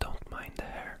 Don't mind the hair.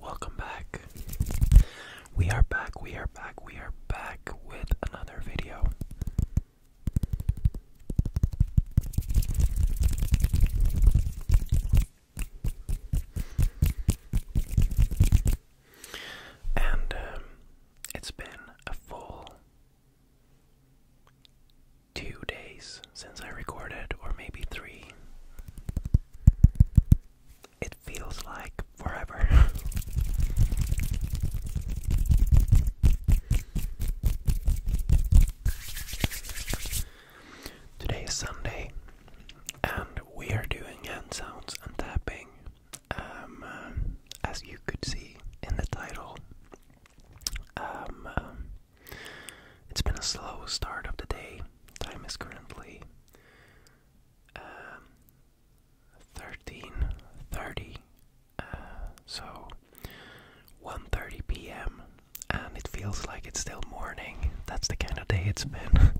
Welcome back. We are back, we are back, we are back with another video. And um, it's been a full two days since I recorded, or maybe three. It feels like forever. Today is Sunday, and we are doing hand sounds and tapping. Um, uh, as you could see in the title, um, uh, it's been a slow start of the day. Time is currently um, thirteen thirty, uh, so 1.30 p.m. and it feels like it's still morning. That's the kind of day it's been.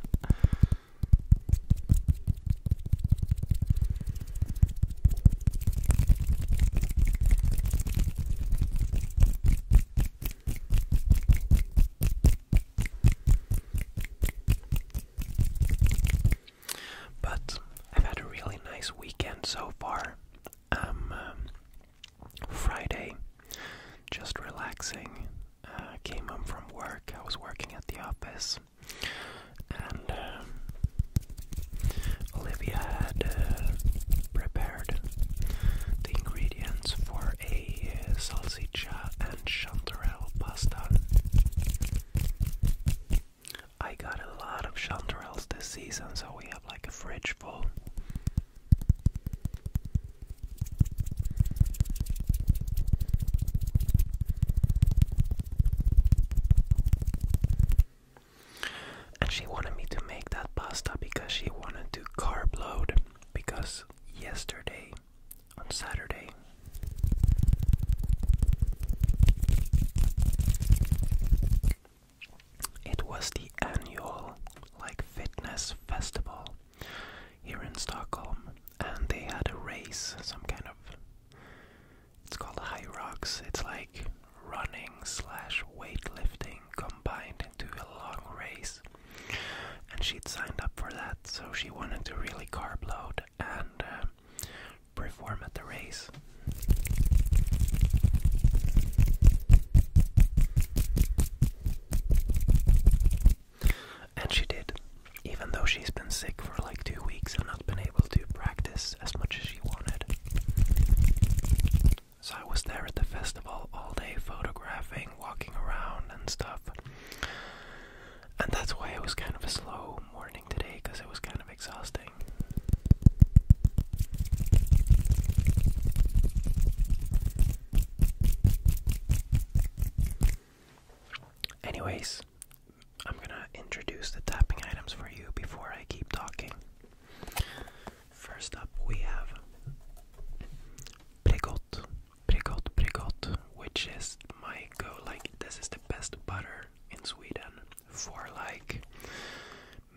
But I've had a really nice weekend so far. Um, um, Friday, just relaxing. Uh, came home from work. I was working at the office, and um, Olivia had uh, prepared the ingredients for a salsicha and chanterelle pasta. I got a lot of chanterelles this season, so we have like a fridge full. And she wanted me to make that pasta because she wanted to carb load because yesterday, on Saturday, it was the annual like fitness festival here in Stockholm, and they had a race, some kind of it's called high rocks. It's like running slash weightlifting combined into a long race. And she'd signed up for that, so she wanted to really carb load and uh, perform at the race. And she did, even though she's been sick for like two weeks and not been able to practice as much as she wanted. So I was there at the festival all day photographing, walking around, and stuff. And that's why it was kind of a slow morning today because it was kind of exhausting. Anyways, I'm gonna introduce the tapping items for you before I keep talking. First up, we have Pregot, Pregot, Pregot, which is my go. Like, this is the best butter in Sweden for like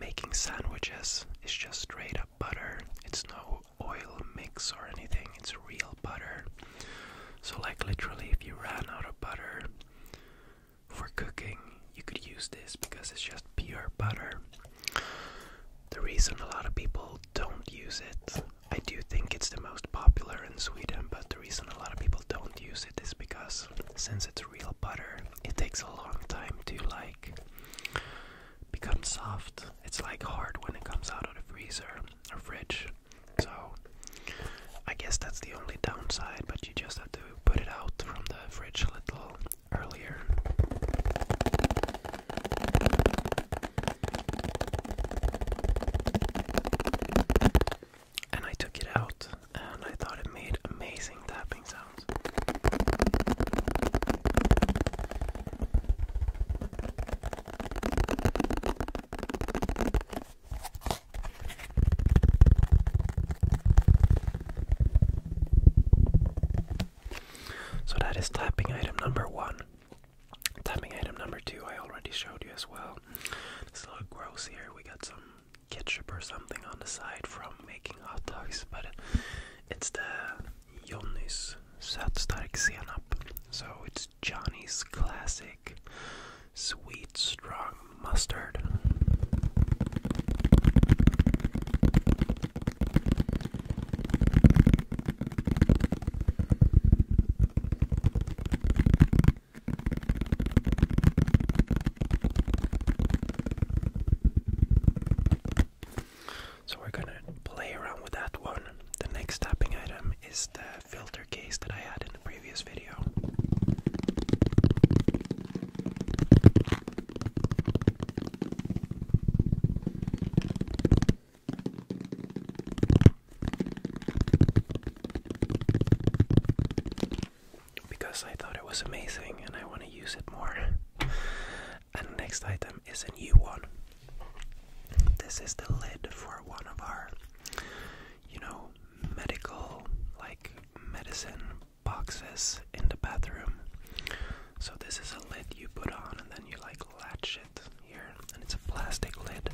making sandwiches. It's just straight up butter, it's no oil mix or anything, it's real butter. So, like, literally, if you ran out of butter for cooking, you could use this because it's just pure butter. The reason a lot of people don't use it, I do think it's the most popular in Sweden, but the reason a lot of people don't use it is because since it's real butter, it takes a long time to like become soft. It's like hard when it comes out of the freezer or fridge. So I guess that's the only downside, but you just have to put it out from the fridge a little earlier. And I took it out and I thought it made amazing tapping sounds. So that is tapping item number one. Tapping item number two, I already showed you as well. It's a little gross here. We got some ketchup or something on the side from making hot dogs, but it's the Johnny's Sötstark Senap. So it's Johnny's classic sweet strong mustard. So we're gonna play around with that one. The next tapping item is the filter case that I had in the previous video. Because I thought it was amazing and I want to use it more. and next item is a new one. This is the lid for one of our, you know, medical, like medicine boxes in the bathroom. So this is a lid you put on and then you like latch it here and it's a plastic lid.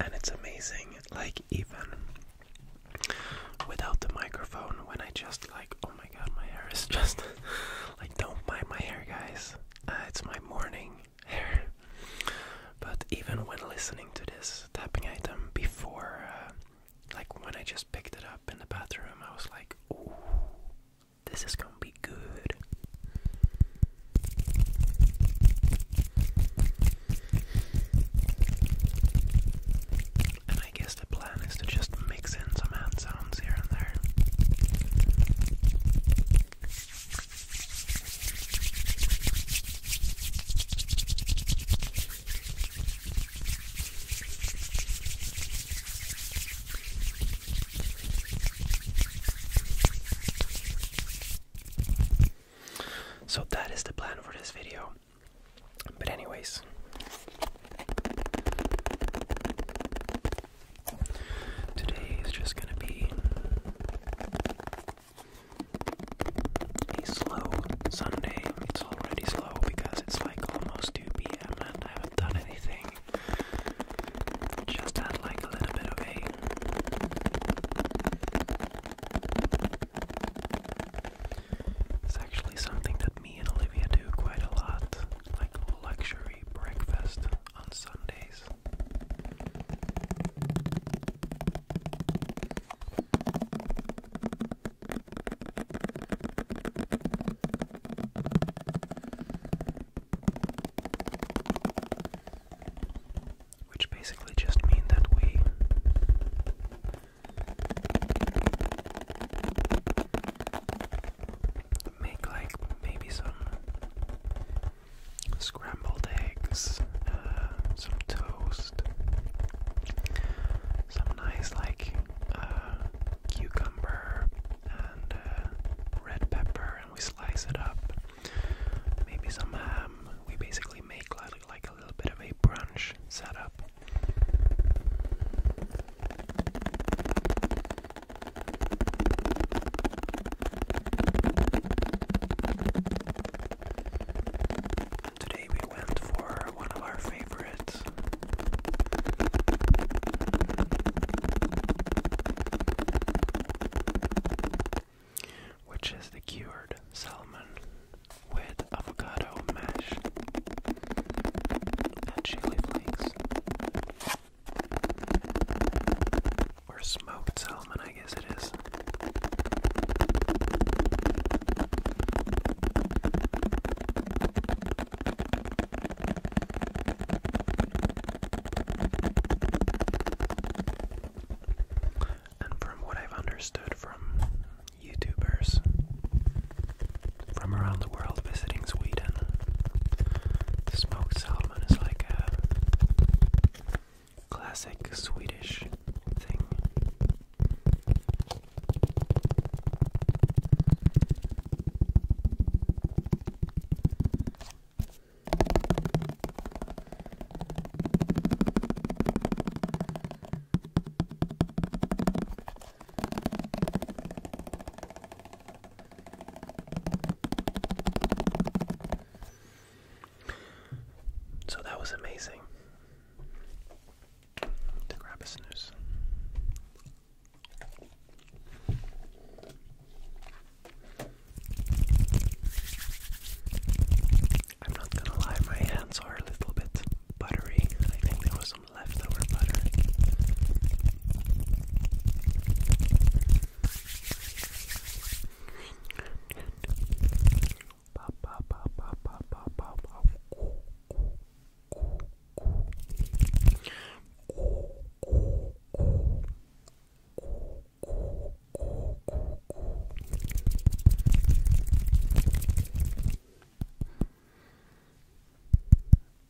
And it's amazing, like, even without the microphone, when I just like, oh my god, my hair is just like, don't mind my hair, guys. Uh, it's my morning But even when listening to this tapping item before, uh, like when I just picked it up in the bathroom, I was like, ooh, this is gonna be good. And I guess the plan is to just mix in some hand sounds here and there. So that is the plan for this video. But anyways, Today is just going to be a slow Sunday. It's already slow because it's like almost 2 p.m. and I haven't done anything. Just had like a little bit of a it's actually something that me and Olivia do quite a lot, like luxury breakfast on Sundays. Which basically just mean that we make like maybe some scrambled eggs, uh, some toast, some nice like uh, cucumber and uh, red pepper, and we slice it up. Maybe some ham. We basically make like, like a little bit of a brunch setup. Today we went for one of our favorites. Which is the cured salmon with avocado mash and chili flakes. Or smoked salmon, I guess it is. And from what I've understood from YouTubers from around world visiting Sweden. Smoked salmon is like a classic Swedish thing. So that was amazing to grab a snooze. I'm not gonna lie, my hands are a little bit buttery. I think there was some leftover butter. Pop, pop, pop, pop, pop, pop, pop, pop. Ooh, ooh, ooh, ooh. Ooh, ooh, ooh.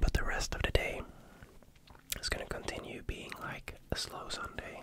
But the rest of the day is going to continue being like a slow Sunday.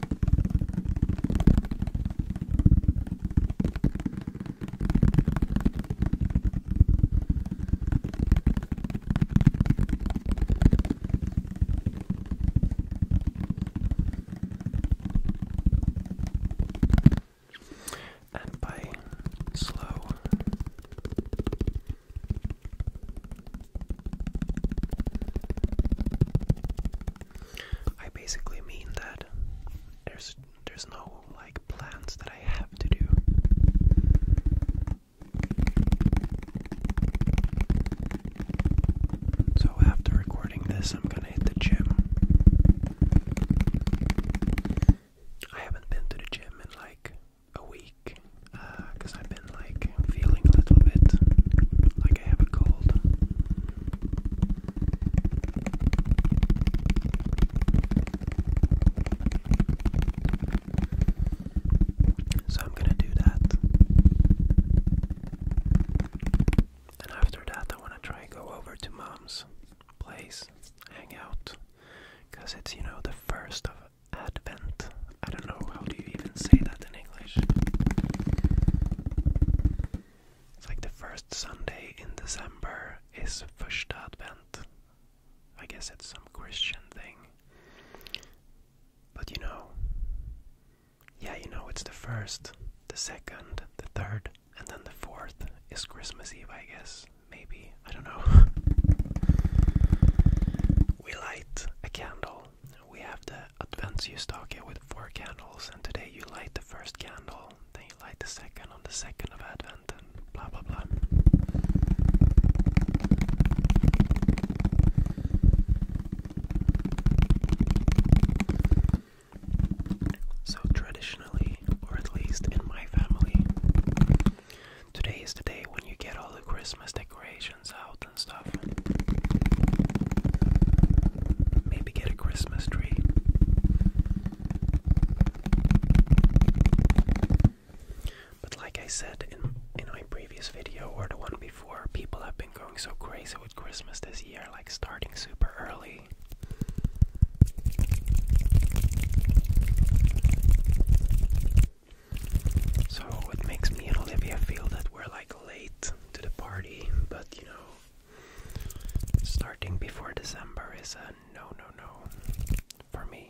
And by slow, I basically mean that there's there's no like plans that I have to do. So after recording this, I'm gonna hit the gym. I haven't been to the gym in like a week because uh, I've been like feeling a little bit like I have a cold. So I'm going to do that. And after that, I want to try and go over to mom's place, hang out, because it's, you know, the first of Advent. I don't know, how do you even say that in English? It's like the first Sunday in December is First Advent. I guess it's some Christian thing. But you know, yeah, you know, it's the first, the second, the third, and then the fourth is Christmas Eve, I guess. Maybe. I don't know. we light a candle. We have the advents you start here with four candles, and today you light the first candle, then you light the second on the second of Advent, and blah blah blah. So, traditionally, or at least in my family, today is the day when you get all the Christmas decorations out and stuff. Maybe get a Christmas tree. But like I said in in my previous video or the one before, people have been going so crazy with Christmas this year, like starting super early. So it makes me and Olivia feel that we're like late to the party, but you know, Starting before December is a no, no, no for me.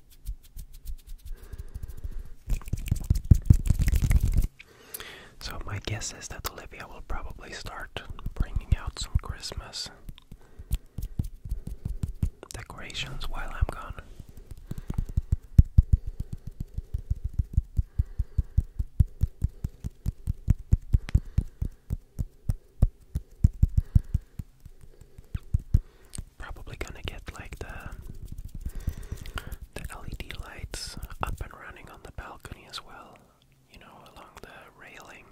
So, my guess is that Olivia will probably start bringing out some Christmas decorations while I'm gone probably gonna get like the the LED lights up and running on the balcony as well, you know, along the railing.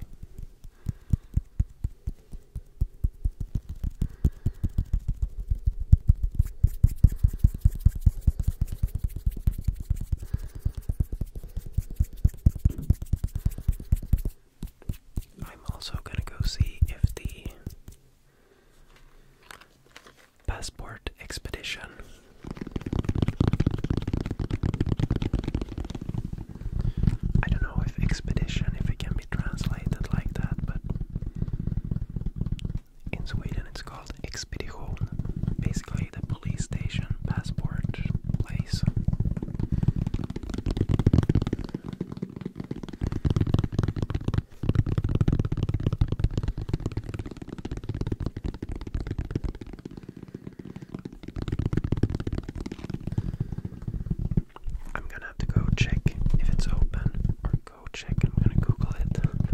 I'm also gonna go see if the Passport Expedition. I don't know if expedition, if it can be translated like that, but in Sweden it's called Expedition. Basically, the police station passport place. I'm gonna have to go check if it's open, or go check. I'm gonna Google it, but I.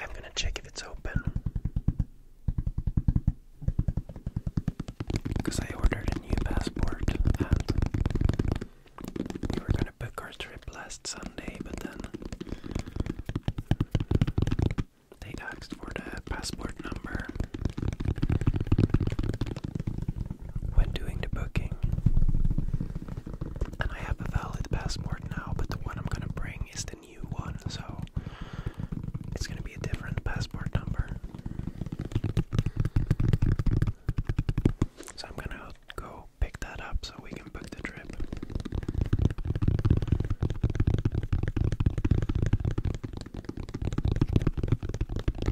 I'm going to check if it's open. Because I ordered a new passport and we were going to book our trip last Sunday, but then they asked for the passport number when doing the booking. And I have a valid passport now, but the one I'm gonna bring is the new one, so it's gonna be a different passport number. So I'm gonna go pick that up so we can book the trip.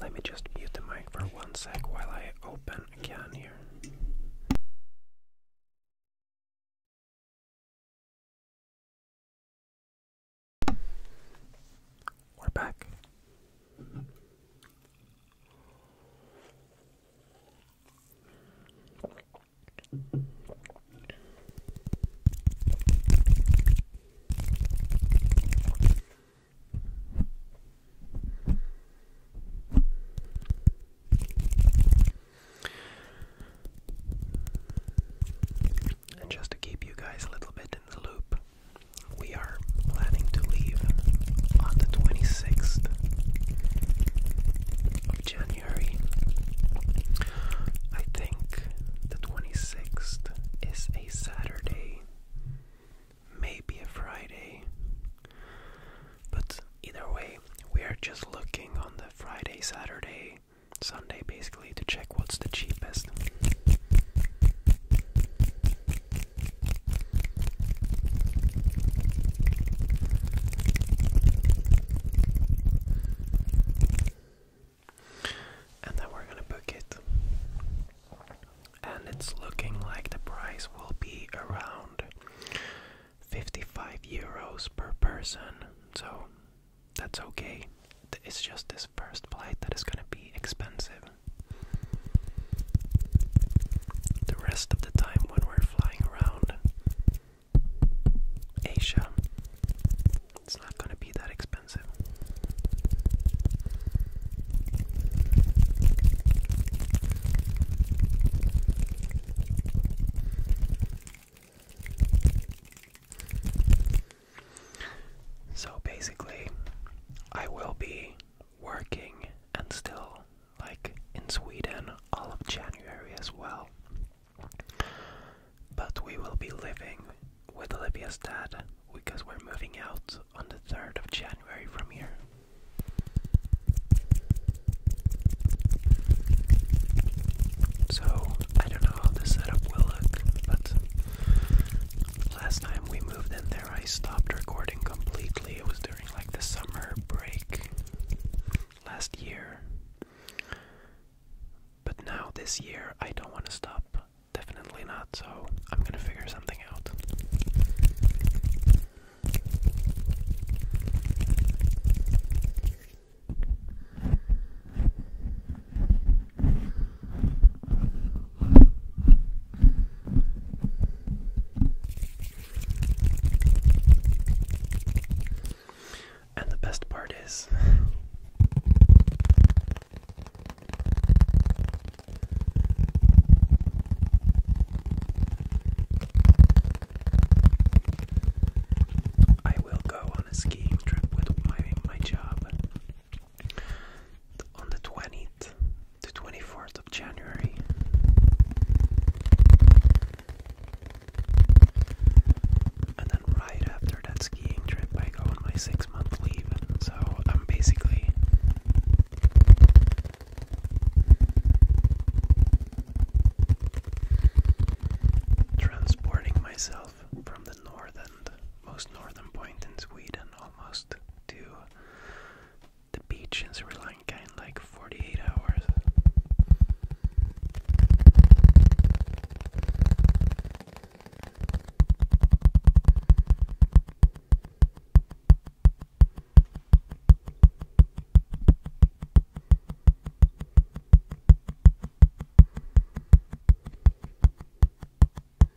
Let me just mute the mic for one sec while I open a can here. We're back. And just to keep you guys a little bit in the loop, we are planning to leave on the 26th of January. I think the 26th is a Saturday, maybe a Friday, but either way, we are just looking on the Friday, Saturday, Sunday basically to check what's the cheapest. And then we're gonna book it. And it's looking like the price will be around 55 euros per person. So that's okay. It's just this first flight that is gonna be expensive. The rest of the time when we're flying around Asia, it's not going to be that expensive. So basically, I will be working and still like in Sweden all of January as well. But we will be living with Olivia's dad because we're moving out on the 3rd of January from here. So, I don't know how the setup will look, but last time we moved in there. I stopped recording completely. It was during like the summer break last year. But now, this year, I don't want to stop. Definitely not, so I'm gonna figure something out. And the best part is I will go on a skiing trip with my my job on the 20th to 24th of January. And then right after that skiing trip, I go on my six month leave. So I'm basically transporting myself from the northern, northern point in Sweden almost to the beach is Sri Lanka in like 48 hours.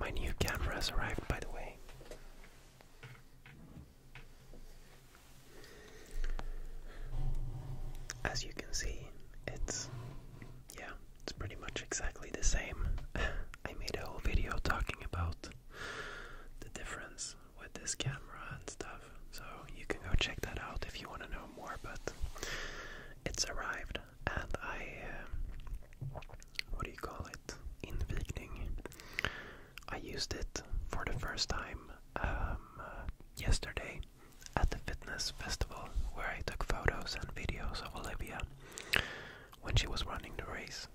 My new camera has arrived, by the way. As you can see, it's yeah, it's pretty much exactly the same. I made a whole video talking about the difference with this camera and stuff, so you can go check that out if you want to know more. But it's arrived, and I uh, what do you call it? Invigning. I used it for the first time um, uh, yesterday at the fitness festival where I took photos and videos of Olivia when she was running the race.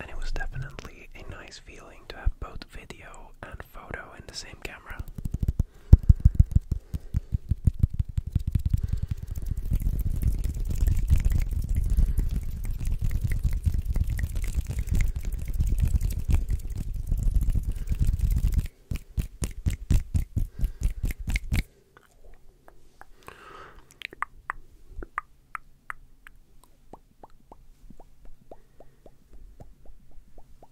And it was definitely a nice feeling to have both video and photo in the same camera.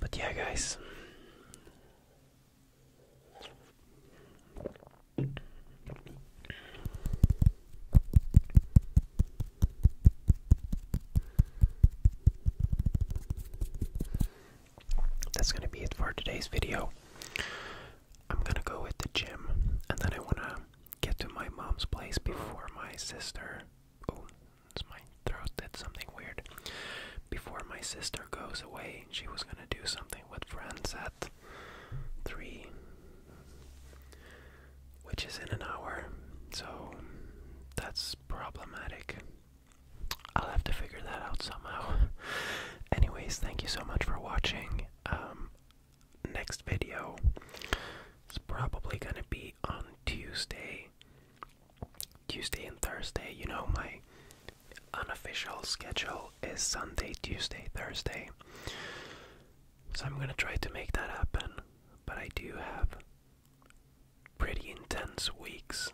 But yeah, guys. That's going to be it for today's video. I'm going to go with the gym and then I want to get to my mom's place before my sister. Oh, it's my throat did something weird. Before my sister goes away, she was gonna do something with friends at three, which is in an hour. So that's problematic. I'll have to figure that out somehow. Anyways, thank you so much for watching. Um, next video is probably going to be on Tuesday. Tuesday and Thursday, you know, my unofficial schedule is Sunday, Tuesday, Thursday. So I'm going to try to make that happen, but I do have pretty intense weeks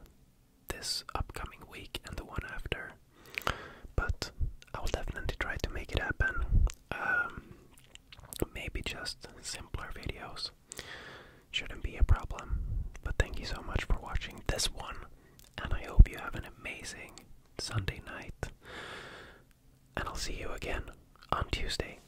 this upcoming week and the one after. But I will definitely try to make it happen. Um, Maybe just simpler videos. Shouldn't be a problem. But thank you so much for watching this one, and I hope you have an amazing Sunday night. And I'll see you again on Tuesday.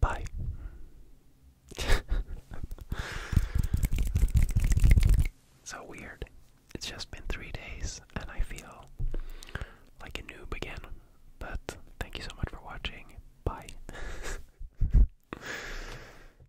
Bye. so weird. It's just been three days and I feel like a noob again. But thank you so much for watching. Bye.